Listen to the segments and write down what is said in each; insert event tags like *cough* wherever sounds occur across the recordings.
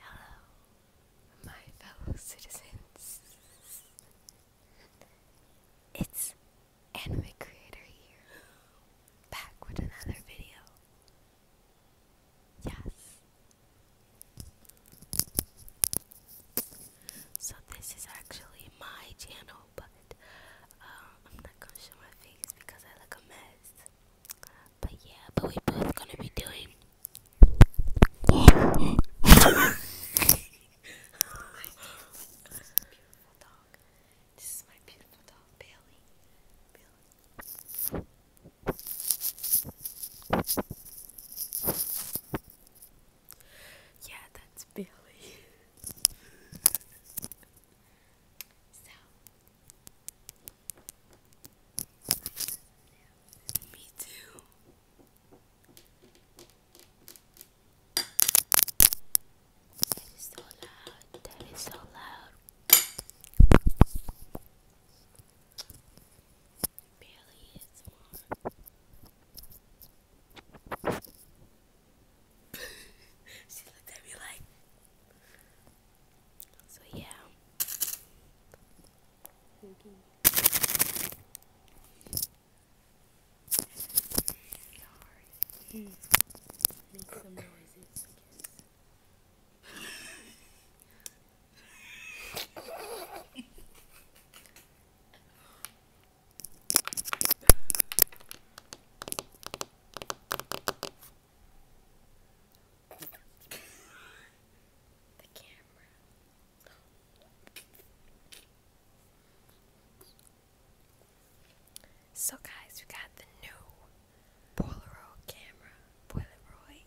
Hello, my fellow citizens. It's Anime Creator here, back with another video. Yes, so this is actually my channel, but um, I'm not gonna show my face because I look a mess. But yeah, but we both gonna be doing. oh *laughs* beautiful dog. This is my beautiful dog, Bailey. Yeah, that's Billy. *laughs* me too. That is so loud. That is so loud barely is *laughs* she looked at me like. So yeah. Okay. Make *laughs* So guys, we got the new Polaroid camera, Polaroid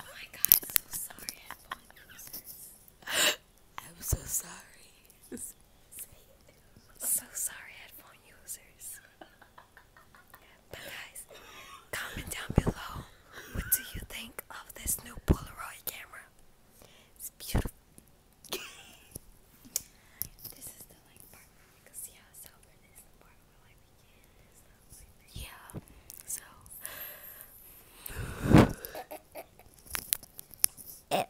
Oh my god, I'm so sorry, headphone users. I'm so sorry. so sorry, headphone users. But guys, comment down below what do you think of this new Polaroid camera? It's beautiful. *laughs* this is the like part. You can see how silver this part yeah, so it *laughs*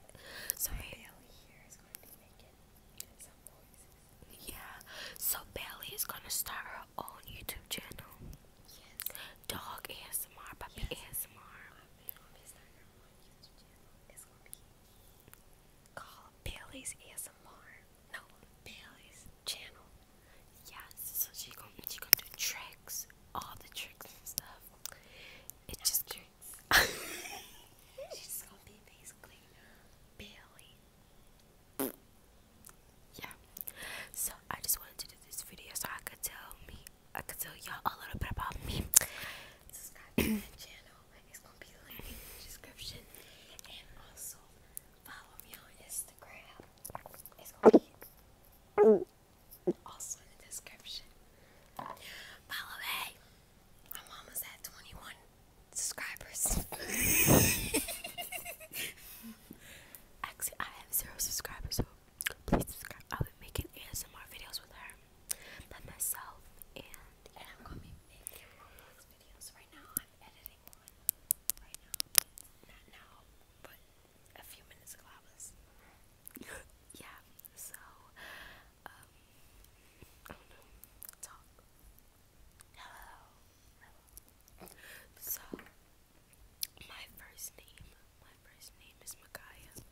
sorry. Bailey here is going to be making some noises. Yeah, so Bailey is gonna start her own YouTube channel. Yes. Dog ASMR, puppy yes. ASMR. Um, gonna start her own YouTube channel. It's gonna be called Bailey's ASMR. No, Bailey's channel. Yes, so she gonna she gonna do tricks, all the tricks and stuff. It just tricks. *laughs* She's gonna be basically Bailey. Yeah. So I just wanted to do this video so I could tell me I could tell y'all a little bit about me. Subscribe to my *laughs* channel. It's gonna be linked in the description. And also follow me on Instagram. Instagram is going also in the description. By the way, my mom is at 21 subscribers. *laughs* Actually, I have zero subscribers, so please subscribe. I'll be making ASMR videos with her, by myself, and, and I'm going to be making Roblox videos right now. I'm editing yeah, so, um, I don't know. Talk. Hello. So, my first name, my first name is Makaya.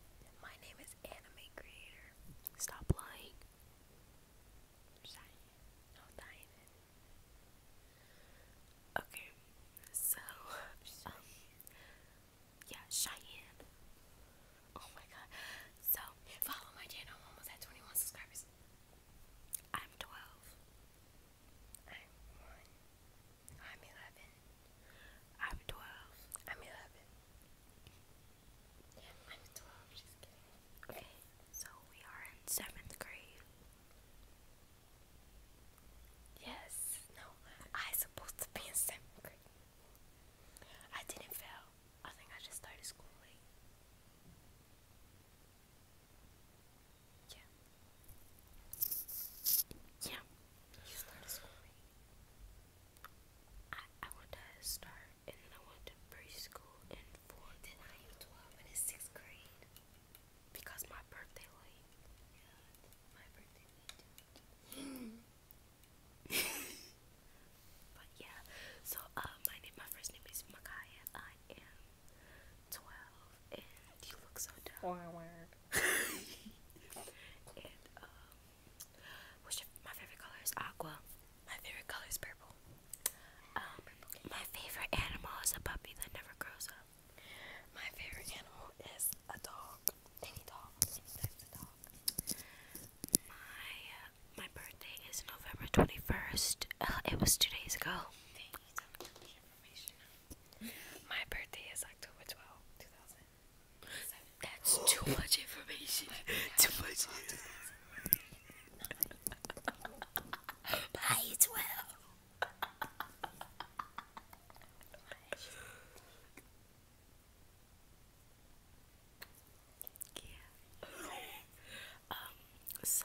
My name is Anime Creator. Stop lying. Okay, so um, yeah, Cheyenne. Oh my god. So follow my channel. I'm almost at 21 subscribers. I'm 12. I'm one. I'm 11. I'm 12. I'm 11. I'm 12. Just kidding. Okay, so we are in seventh grade. Yes, no, I supposed to be in seventh grade. I didn't fail. I think I just started school late. Yeah. Yeah. You started school late. I I want to uh, start and then I went to preschool in fourth, and I am 12 and in sixth grade because my birthday Yeah, my birthday *laughs* but yeah, so uh, my name, my first name is Makaya. I am 12, and you look so dumb. *laughs* and um, my favorite color is aqua. My favorite color is purple. Um, my favorite animal is a puppy that never grows up. My favorite animal is a dog. Any dog, any type of dog. My uh, my birthday is November twenty first. Uh, it was two days ago. That's too much information. too much. Bye, well. Yeah. Um. So,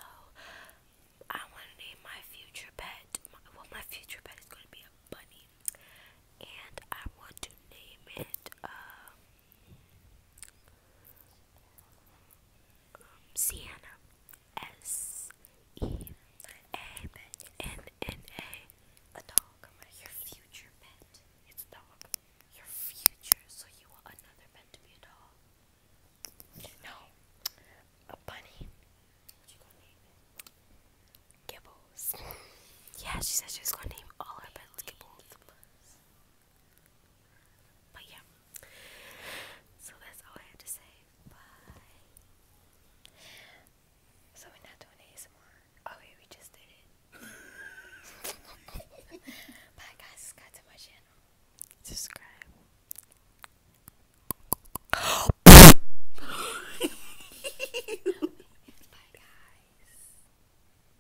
I want to name my future pet. well, my future pet is going to be a bunny, and I want to name it. Um, Sienna S E A N N A a dog. Your future pet. It's a dog. Your future. So you want another pet to be a dog? No, a bunny. Gibbles. *laughs* yeah, she said she's gonna name all her pets Gibbles. But yeah, so that's all I had to say. Bye. So we're not doing ASMR. Okay, oh, we just did it. *laughs* Bye, guys. Subscribe to my channel. Subscribe. Bye, guys.